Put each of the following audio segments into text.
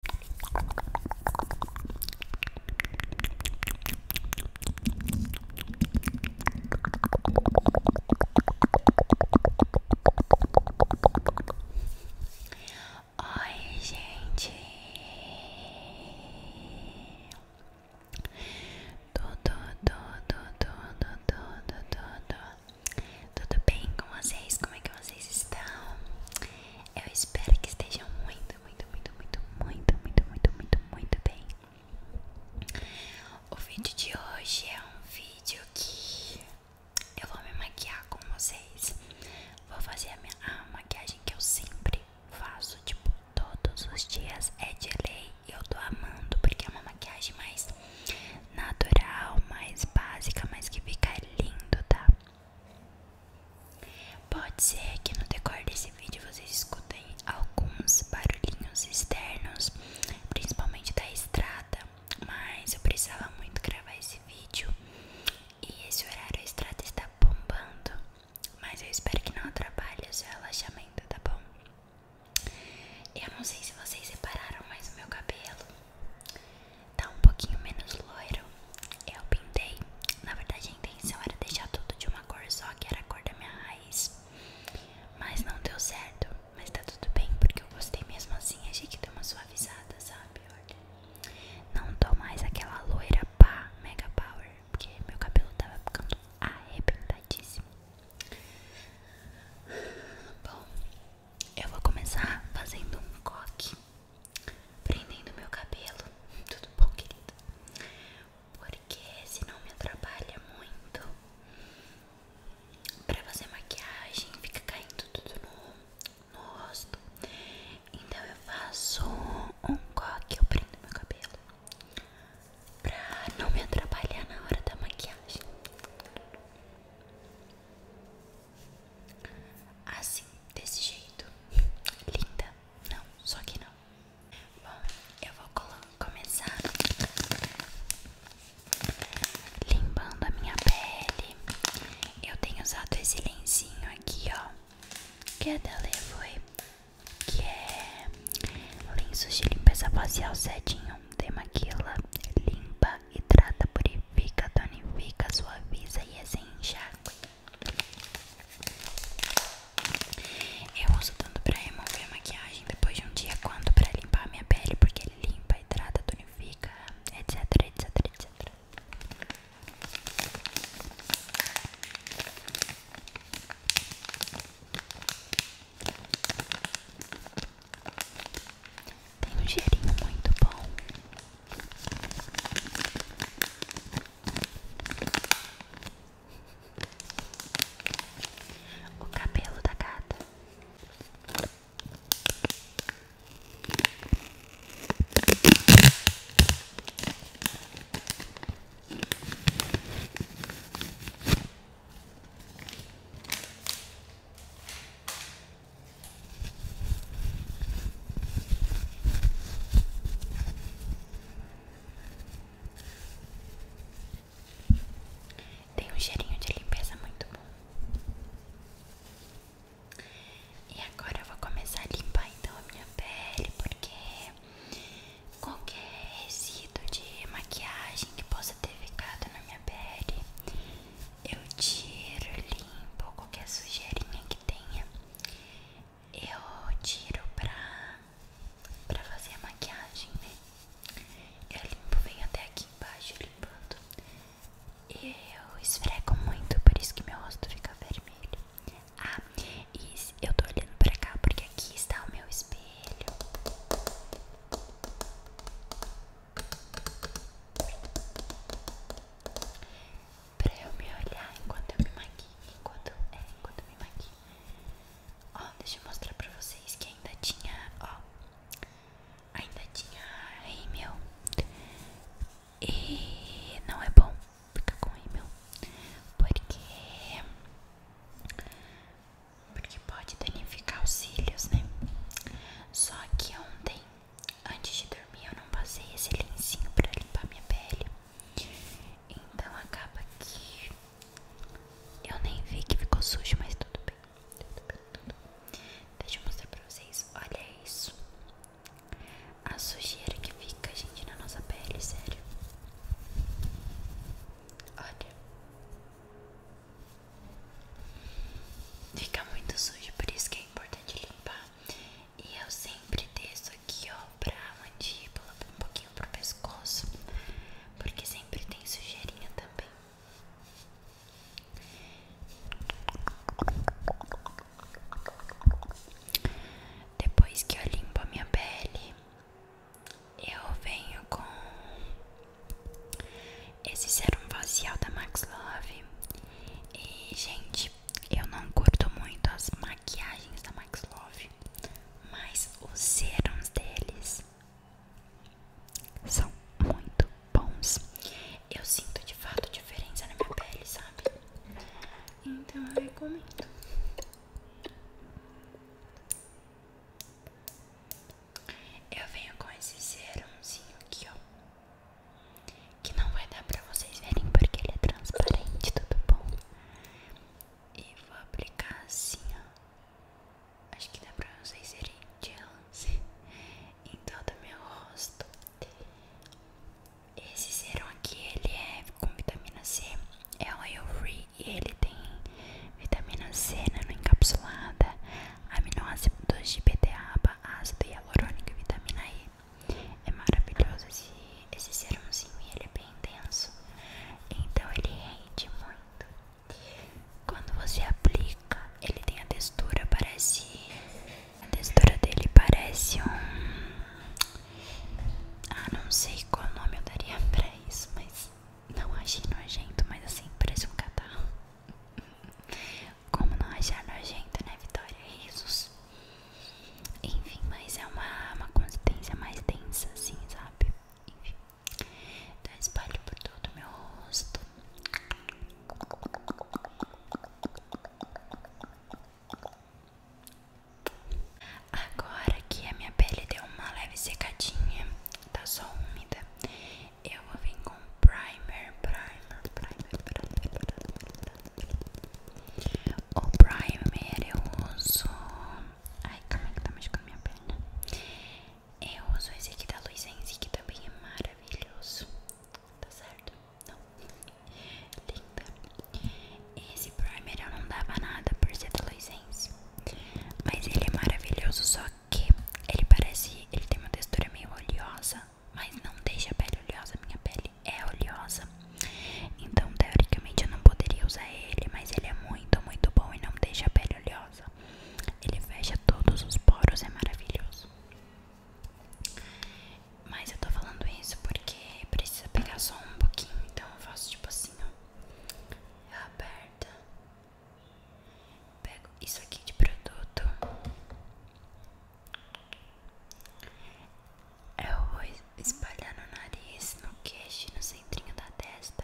Oi, gente, tudo, tudo, tudo, tudo, tudo, tudo bem com vocês? Como é que vocês estão? Eu espero que estejam muito, muito, muito, muito, muito, muito, muito, muito, muito bem. O vídeo de hoje é um vídeo que eu vou me maquiar com vocês. Vou fazer a, minha, maquiagem que eu sempre faço, tipo, todos os dias é de lei. Eu tô amando porque é uma maquiagem mais natural, mais básica, mas que fica lindo, tá? Pode ser que no decorrer desse vídeo vocês escutem alguns barulhinhos externos, principalmente da estrada, mas eu precisava muito gravar esse vídeo e esse horário a estrada está bombando, mas eu espero que não atrapalhe o seu relaxamento, tá bom? Eu não sei se vocês repararam, mas o meu cabelo Tá um pouquinho menos loiro. Eu pintei. Na verdade, a intenção era deixar tudo de uma cor só, que era a cor da minha raiz. Mas não deu certo. Mas tá tudo bem, porque eu gostei mesmo assim. Achei que deu uma suavizada, sabe? Olha. Não tô mais aquela loira pá, mega power. Porque meu cabelo tava ficando arrebentadíssimo. Bom, eu vou começar fazendo um coque prendendo meu cabelo. Tudo bom, querido? Porque se não me atrapalha muito pra fazer maquiagem, fica caindo tudo no, no rosto. Então eu faço um coque, eu prendo meu cabelo pra não me atrapalhar na hora da maquiagem. Assim, desse jeito. Linda. Não, só que não. Bom, eu vou começar limpando a minha pele. Eu tenho usado esse lencinho aqui, ó. Que é da Levoy. Que é lenço de limpeza facial 7 em 1 limpa hidrata, purifica, tonifica, suaviza e é sem assim enxágue. Eu uso tanto pra remover a maquiagem depois de um dia quanto pra limpar minha pele, porque limpa, hidrata, tonifica, etc, etc, etc. Tem um cheirinho muito bom. O cabelo da gata. Tem um cheirinho de limpeza muito bom. E agora eu vou começar a limpar então a minha pele, porque qualquer resíduo de maquiagem que possa ter ficado na minha pele, eu tiro, limpo qualquer sujeirinha que tenha. Eu tiro pra, pra fazer a maquiagem, né? Eu limpo, venho até aqui embaixo limpando. E eu esfrego muito, por isso que meu rosto fica vermelho. Ah, e eu tô olhando pra cá porque aqui está o meu espelho. Pra eu me olhar enquanto eu me maquio. Enquanto, é, enquanto eu me maquio. Ó, deixa eu mostrar pra vocês que ainda tinha, ó. Ainda tinha rímel. E não é bom ficar com rímel. Porque... Porque pode danificar os cílios, né? Só que ontem antes de dormir, eu não passei esse lencinho pra limpar minha pele. Então acaba que eu nem vi que ficou sujo, mas tudo bem. tudo bem. Deixa eu mostrar pra vocês. Olha isso. A sujeira que fica, gente, na nossa pele, sério. Olha. Fica muito sujo, por isso que é importante limpar. E eu sempre desço aqui, ó, pra mandíbula, um pouquinho pro pescoço, porque sempre tem sujeirinha também. Depois que eu limpo a minha pele, eu venho com esses eram facial da Max Love. E, gente, eu não curto muito as maquiagens da Max Love, mas os serums deles são muito bons. Eu sinto de fato diferença na minha pele, sabe? Então eu recomendo. Eu venho com esse serumzinho aqui, ó. Que não vai dar pra vocês verem porque ele é transparente, tudo bom? E vou aplicar assim, ó. Acho que dá pra vocês verem de lance em todo meu rosto. Esse serum aqui, ele é com vitamina C. É oil free e ele tem vitamina C nanoencapsulada, né, aminoácido 2 GPTA, ácido hialurônico e vitamina E. É maravilhoso esse, esse serumzinho e ele é bem denso, então ele rende muito. Quando você aplica, ele tem a textura, parece. A textura dele parece um. Ah, não sei qual nome eu daria pra isso, mas. Não achei nojento, mas assim, parece um catarro. Como não achar nojento, né, Vitória? Jesus Enfim, mas é uma, uma consistência mais densa, assim, sabe? Enfim. Então, espalho por todo o meu rosto. Agora que a minha pele deu uma leve secadinha, tá só úmida, eu vou vir com primer, primer, primer, primer, primer. O primer eu uso. Ai, como é que tá machucando minha perna? Eu uso esse aqui da Luizense, que também é maravilhoso. Tá certo? Não. Linda. Esse primer eu não dava nada por ser da Luizense. Mas ele é maravilhoso, só que ele parece, ele tem uma textura meio oleosa, mas não deixa a pele oleosa, minha pele é oleosa. Então, teoricamente eu não poderia usar ele, mas ele é muito, muito bom e não deixa a pele oleosa. Ele fecha todos os poros, é maravilhoso. Mas eu tô falando isso porque precisa pegar só um pouquinho, então eu faço tipo assim, ó. Eu aperto Pego isso aqui de produto. Eu é vou espalhar no nariz, no queixo, no centrinho da testa,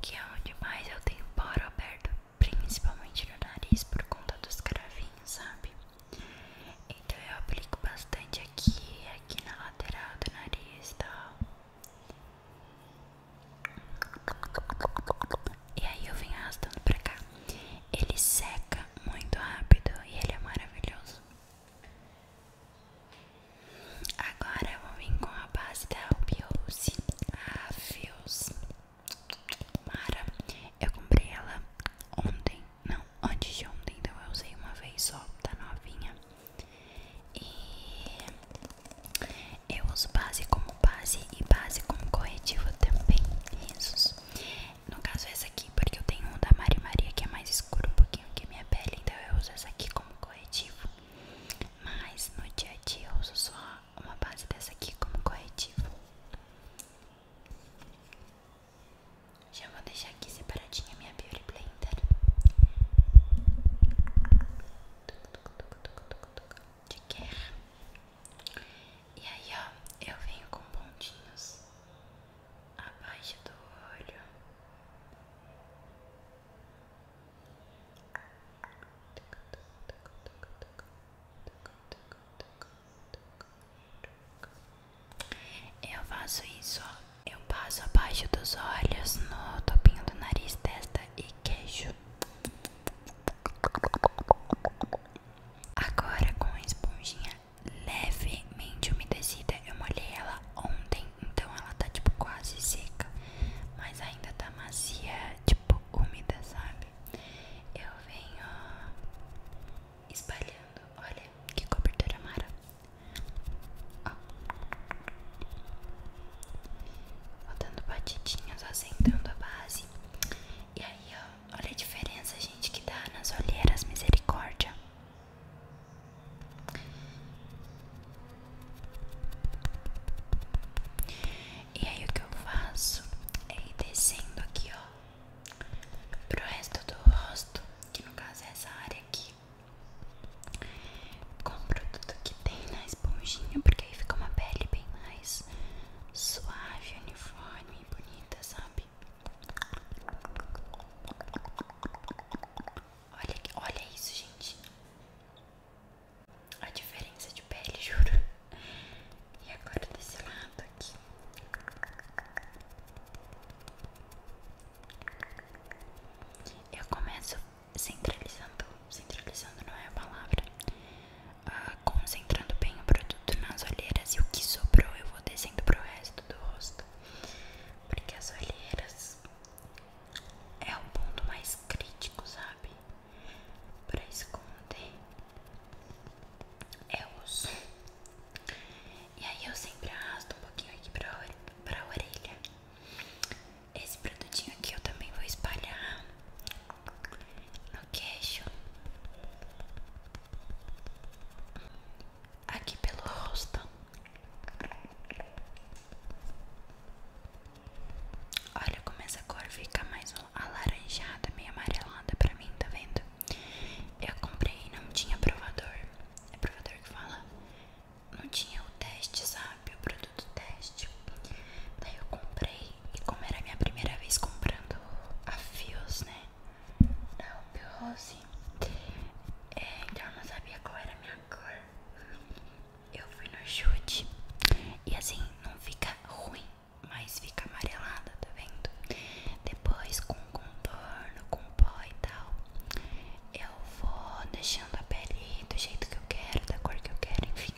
que é onde mais eu tenho poro aberto, principalmente no nariz por conta dos cravinhos, sabe? Então eu aplico bastante aqui, aqui na lateral do nariz e tal. E aí eu venho arrastando pra cá. Ele seca muito rápido e ele é maravilhoso. Agora eu vou vir com a base da Albiose. A ah, Fios. Mara. Eu comprei ela ontem. Não, antes de ontem. Então eu usei uma vez só, tá novinha. E eu uso base como base e base como corretivo também. isso No caso, essa aqui, porque eu tenho um da Mari Maria que é mais escuro um pouquinho que minha pele. Então eu uso essa aqui como corretivo. Mas no dia a dia eu uso só uma base dessa aqui como corretivo. Já vou deixar aqui separadinha minha Beauty Blender de guerra. E aí, ó, eu venho com pontinhos abaixo do olho. Eu faço isso, ó. eu passo abaixo dos olhos, no topinho do nariz, testa e queijo. Agora com a esponjinha levemente umedecida, eu molhei ela ontem, então ela tá tipo quase seca, mas ainda tá macia, tipo úmida, sabe? Eu venho espalhando, olha que cobertura mara. Ó. Vou dando batidinhas, assentando a base. E aí, ó, olha a diferença, gente, que dá nas olheiras, misericórdia. E aí, o que eu faço é ir descendo aqui, ó, pro resto do rosto, que no caso é essa área aqui com o produto que tem na esponjinha, porque aí fica uma pele bem mais suave, uniforme e bonita, sabe? Olha, olha isso, gente. A diferença de pele, juro. E agora desse lado aqui. Eu começo centralizando, centralizando não é a palavra, ah, concentrando bem o produto nas olheiras e o que sobrou eu vou descendo pro resto do rosto, porque as olheiras é o ponto mais crítico, sabe? Pra esconder é osso. E aí eu sempre arrasto um pouquinho aqui pra, pra orelha esse produtinho aqui eu também vou espalhar no queixo, aqui pelo rosto. Olha como essa cor fica mais alaranjada, meio amarelada pra mim, tá vendo? Eu comprei e não tinha provador. É provador que fala? não tinha o teste, sabe? O produto teste. Daí eu comprei. E como era a minha primeira vez comprando a Fios, né? Da Ruby Rose. É, então eu não sabia qual era a minha cor. Eu fui no chute. E assim, não fica ruim, mas fica amarelada, tá vendo? Depois com contorno, com pó e tal eu vou deixando a pele do jeito que eu quero, da cor que eu quero, enfim.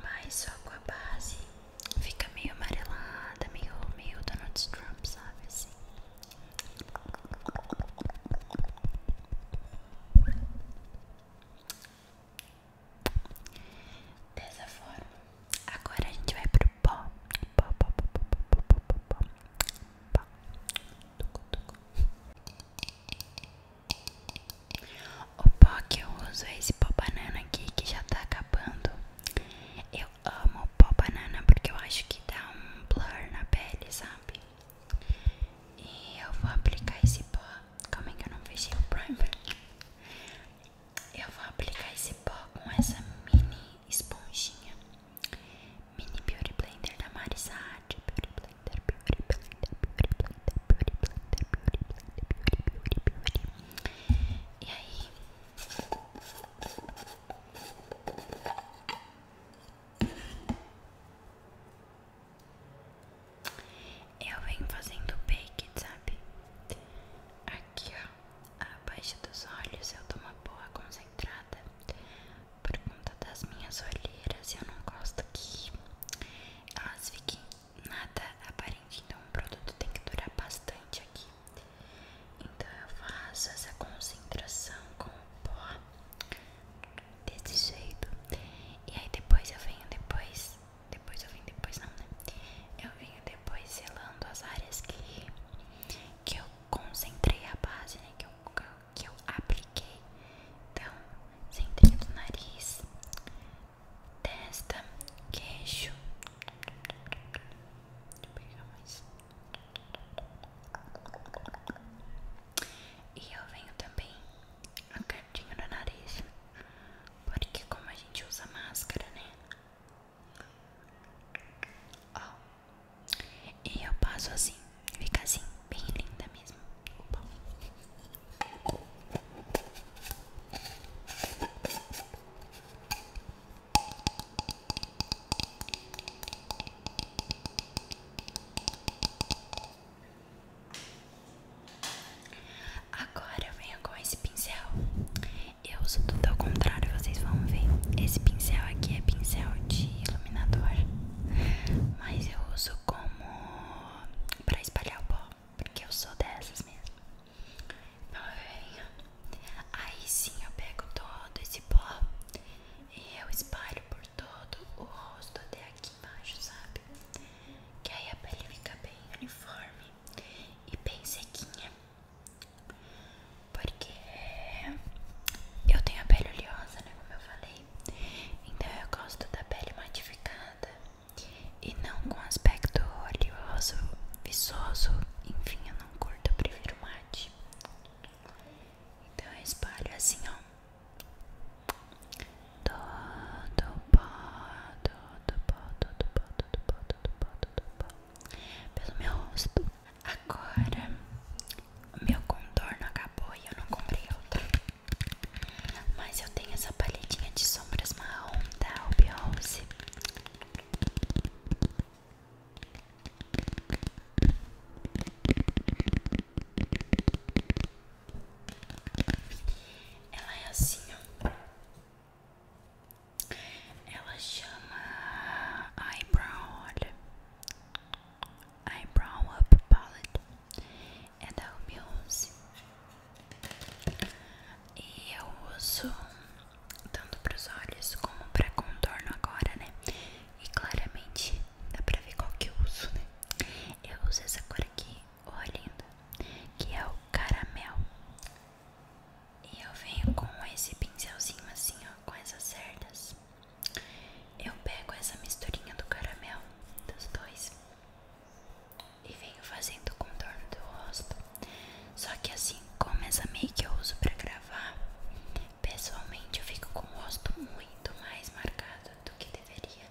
Mas só com a base fica meio amarelada, meio, meio Donald Trump, sabe? Assim. Dessa forma, agora a gente vai pro pó. Pó, pó, pó, pó, pó, pó, pó, pó. O pó que eu uso é esse pó banana aqui que já tá acabando. Eu amo pó banana porque eu acho que dá um blur na pele, sabe? E eu vou aplicar esse pó. Como é que eu não fiz o primer? Eu vou aplicar esse pó com essa mini esponjinha Mini Beauty Blender da Marisade Beauty Blender, Beauty Blender, Beauty Blender, Beauty Blender, Beauty Blender, Beauty, Beauty, Beauty E aí eu venho fazendo bake, sabe? Aqui ó, abaixo dos olhos eu dou boa concentrada concentrada por conta das minhas olheiras. Eu não gosto que elas fiquem nada aparente. Então, o produto tem que durar bastante aqui. Então, eu faço essa concentração com o pó desse jeito. E aí, depois eu venho depois. Depois eu venho depois, não, né? Eu venho depois selando as áreas que, que concentrei a base né, que, eu, que eu apliquei. Então, centro do nariz, testa, queixo. E eu venho também no cantinho do nariz. Porque como a gente usa máscara, né? E eu passo assim. Fica assim, bem linda mesmo. Agora eu venho com esse pincel eu uso tudo ao contrário, vocês vão ver. Esse pincel aqui é pincel de iluminador, mas eu uso como para espalhar o pó, porque eu sou dessas mesmo. aí sim eu pego todo esse pó e eu espalho por todo o rosto até aqui embaixo, sabe? Que aí a pele fica bem uniforme e bem sequinha. Porque eu tenho a pele oleosa, né? Como eu falei. Então eu gosto da pele modificada e não com aspecto oleoso, viçoso. Enfim, eu não curto, eu prefiro mate. Então eu espalho assim, ó. Todo pó, todo pó, todo pó, todo pó, todo pó, todo pó. Pelo meu rosto. Agora, o meu contorno acabou e eu não comprei outro. Mas eu tenho essa palhetinha de sombras marrom da Ruby Ela é assim, ó. Ela chama Eyebrow, olha. Eyebrow Up Palette. É da Ruby 11. E eu uso tanto para os olhos como para contorno agora, né? E claramente dá para ver qual que eu uso, né? Eu uso essa cor aqui, ó, linda, que é o caramel. E eu venho com esse pincelzinho assim, ó, com essas cerdas. Eu pego essa misturinha do caramelo dos dois e venho fazendo o contorno do rosto. Só que assim, como essa make eu uso pra gravar, pessoalmente eu fico com o rosto muito mais marcado do que deveria.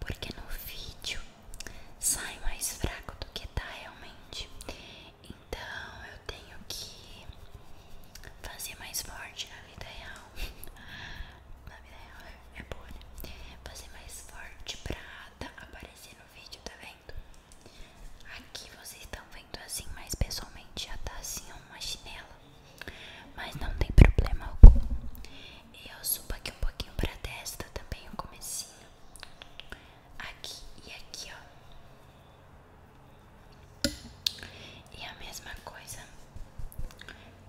Porque no vídeo sai mais fraco do que tá realmente. Então eu tenho que fazer mais forte na vida real. na vida real é, é boa, né? Fazer mais forte pra tá aparecer no vídeo, tá vendo? Aqui vocês estão vendo assim, mas pessoalmente já tá assim uma chinela. Mas não tem problema algum. Eu subo aqui um pouquinho pra testa também o comecinho. Aqui e aqui, ó. E a mesma coisa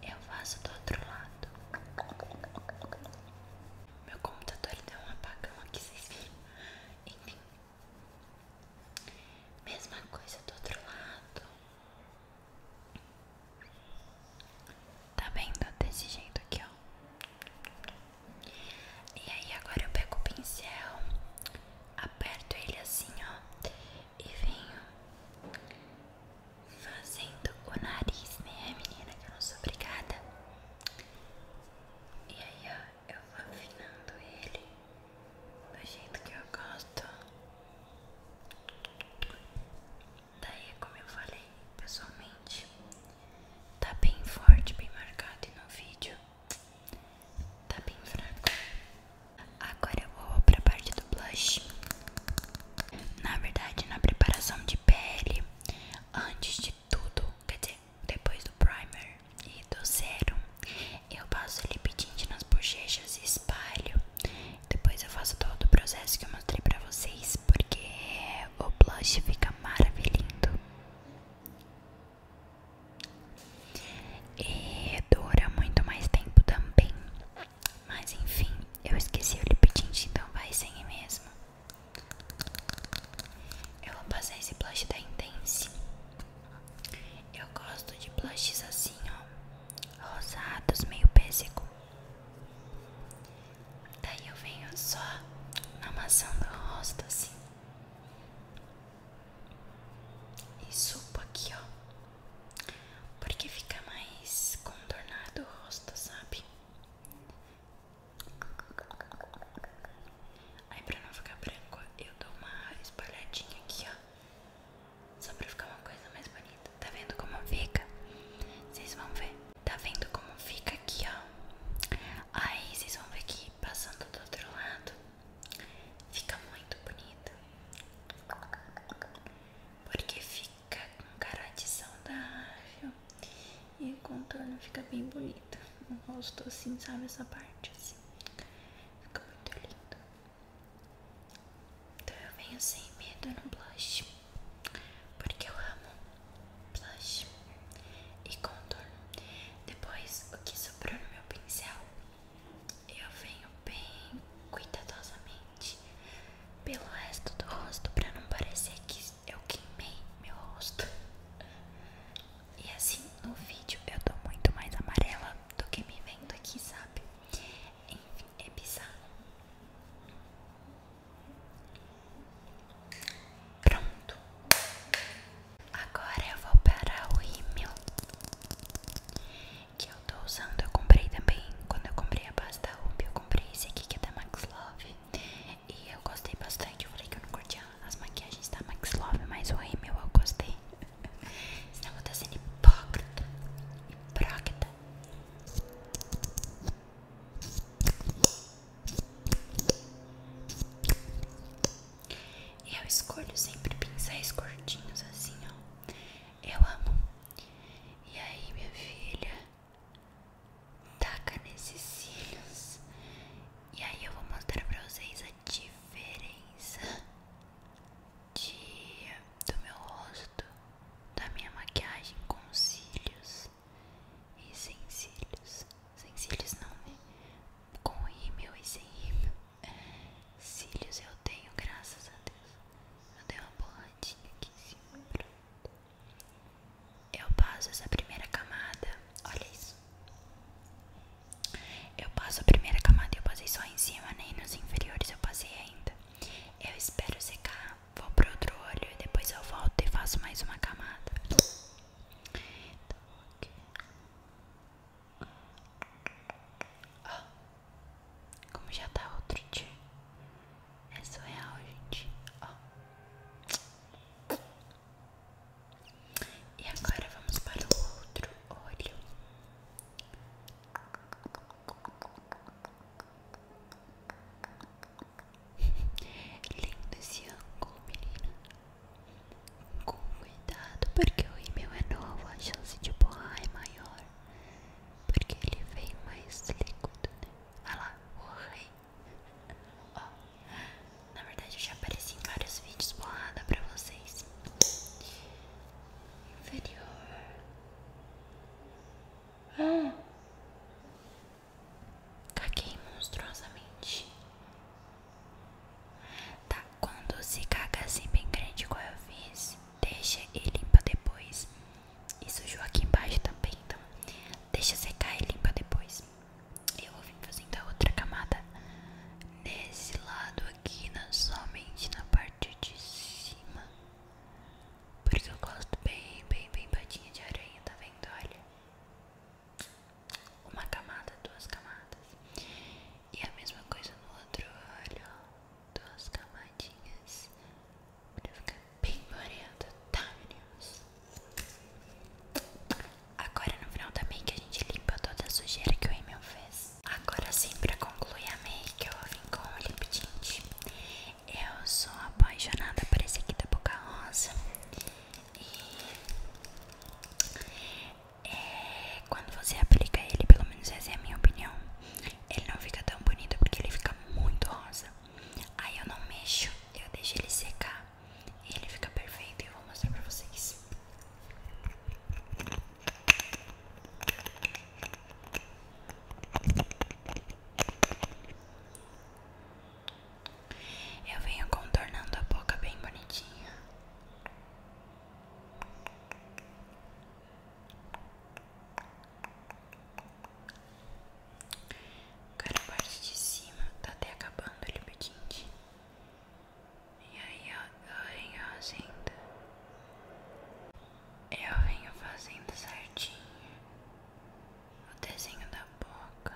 eu faço do outro lado. Meu computador ele deu um apagão aqui, vocês viram? Enfim, mesma coisa do outro lado. Tá vendo desse jeito aqui, ó? E aí agora eu pego o pincel, aperto ele assim, ó, e venho fazendo o nariz, né, menina, que eu não sou obrigada. E aí, ó, eu vou afinando ele do jeito que eu gosto. Daí, como eu falei, pessoalmente tá bem forte, bem marcado no vídeo, tá bem fraco. Agora eu vou pra parte do blush. Na verdade, na preparação de pele, antes de tudo, quer dizer, depois do primer e do zero, eu passo lip tint nas bochechas e espalho. Depois eu faço todo o processo que eu mostrei pra vocês, porque o blush fica maravilhoso. E é, dura muito mais tempo também. Mas enfim, eu esqueci o lip tint, então vai sem mesmo. Eu vou passar esse blush da Intense. Eu gosto de blushes assim, ó, rosados, meio pêssego. Daí eu venho só amassando o rosto assim. E supo aqui, ó. Porque fica mais contornado o rosto, sabe? Aí pra não ficar branco, eu dou uma espalhadinha aqui, ó. Só pra ficar uma coisa mais bonita. Tá vendo como fica? Vocês vão ver. Tá vendo como fica aqui, ó? Aí vocês vão ver que passando do outro lado fica muito bonito. Porque fica com caratição da ágil e o contorno fica bem bonito. O rosto assim, sabe? Essa parte assim. Fica muito lindo. Então eu venho sem medo no blush. Porque eu amo blush e contorno. Depois, o que sobrou no meu pincel, eu venho bem cuidadosamente pelo resto do rosto para não parecer que eu queimei meu rosto. E assim, no vídeo eu tô muito mais amarela do que me vendo aqui, sabe? Enfim, é bizarro. Pronto. Agora eu vou para o rímel que eu tô usando. Eu comprei também quando eu comprei a pasta Ruby. Eu comprei esse aqui que é da Max Love e eu gostei bastante. Eu falei que eu não curtia as maquiagens da Max Love, mas o rímel eu gostei. Senão eu vou estar sendo hipócrita. Hipócrita. Eu escolho sempre pincéis curtinhos assim, ó. Eu amo. E aí, minha filha, taca nesses cílios. E aí eu vou mostrar pra vocês a diferença de, do meu rosto, da minha maquiagem com os cílios e sem cílios. Sem cílios não, né? Com rímel e sem rímel. Cílios eu tenho, graças a Deus. Eu dei uma borradinha aqui em cima. Eu passo essa primeira camada. Olha isso. Eu passo a primeira camada e eu passei só em cima, nem né? nos inferiores eu passei ainda. Eu espero secar vou pro outro olho e depois eu volto e faço mais uma camada. Então, aqui. Ó, como já tá outro dia. É surreal, gente. Ó. E agora vamos para o outro olho. Lindo esse ângulo, menina. Com cuidado, porque o e-mail é novo, a chance de borrar é maior. Porque ele vem mais líquido, né? Olha lá, borrei. Ó, na verdade eu já apareci em vários vídeos borrada pra vocês. Inferior. Ah. Caguei monstruosamente. Tá, quando se caga assim bem grande, igual eu fiz, deixa e limpa depois. E sujou aqui embaixo também, então deixa secar e limpa depois. Eu vou vir fazendo a outra camada nesse lado aqui, na, somente na parte de cima. Porque eu gosto bem, bem, bem patinha de aranha, tá vendo? Olha. Uma camada, duas camadas. E a mesma coisa no outro olho, Duas camadinhas. Pra ficar bem bonito, tá, meninos? Agora no final da make a gente limpa toda a sujeira que o Emil fez. Agora sim, pra concluir a make, eu vim com o lip tint. Eu sou apaixonada por esse aqui da Boca Rosa. E é, quando você aplica ele, pelo menos essa é a minha opinião, ele não fica tão bonito porque ele fica muito rosa. Aí eu não mexo, eu deixo ele secar e ele fica perfeito. E eu vou mostrar pra vocês. Eu venho contornando a boca bem bonitinha. Cara, a parte de cima tá até acabando o lip E aí eu venho fazendo. Eu venho fazendo certinho o desenho da boca.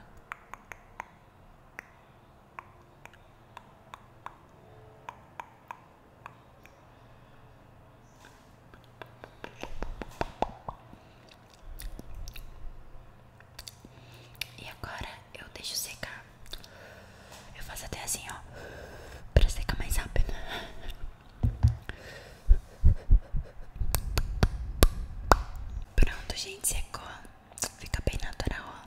E agora eu deixo secar. Eu faço até assim, ó, para secar mais rápido. Pronto, gente, secou. É fica bem natural, ó.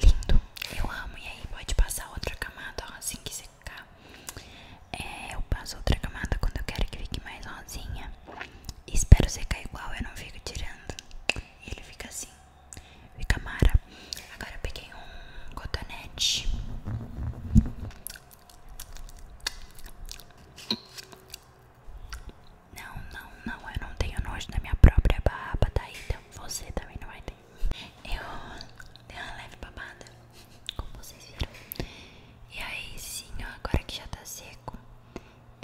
Lindo. Eu amo. E aí, pode passar outra camada, ó, assim que secar. É, eu passo outra camada quando eu quero que fique mais rosinha. Espero secar igual, eu não fico tirando. E ele fica assim. Fica mara. Agora eu peguei um cotonete. Não, não, não, eu não tenho nojo da minha própria barba, tá? Então você também não vai ter. Eu dei uma leve babada, como vocês viram. E aí sim, agora que já tá seco,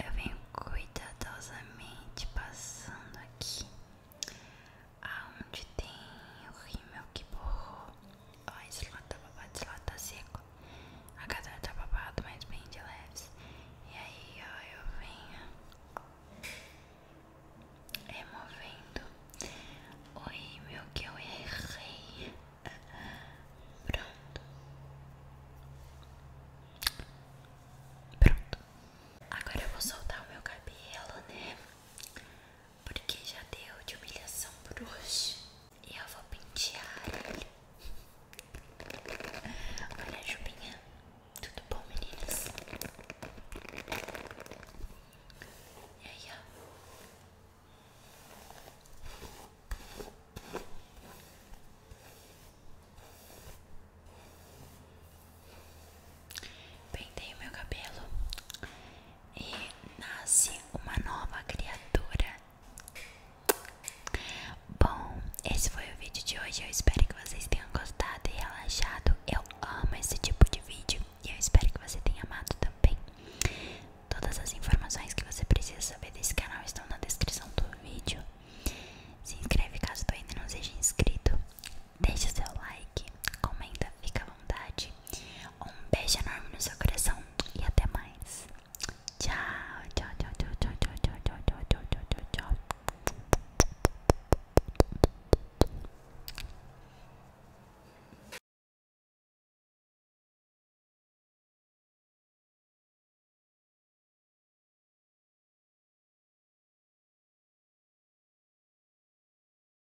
eu venho cuidadosamente passando aqui aonde tem o rímel que borrou ó, esse papado tá, tá seco. A cadeira tá babado, mas bem de leves. E aí, ó, eu venho removendo oi meu que eu errei. Pronto. Pronto. Agora eu vou soltar o meu cabelo, né? porque já deu de humilhação por hoje. E eu vou pentear Olha a Jubinha. Tudo bom, meninas? E aí, ó. Pentei o meu cabelo e nasce uma nova criatura. Bom, esse foi o vídeo de hoje. Eu espero que vocês tenham gostado e relaxado. Eu amo esse tipo de vídeo e eu espero que você tenha amado também. Todas as informações que você precisa saber desse canal estão na descrição do vídeo. Se inscreve caso tu ainda não seja inscrito. Deixa seu like, comenta, fica à vontade. Um beijo enorme no seu coração e até mais. Tchau, tchau, tchau, tchau, tchau, tchau, tchau, tchau, tchau, tchau, tchau, tchau, tchau.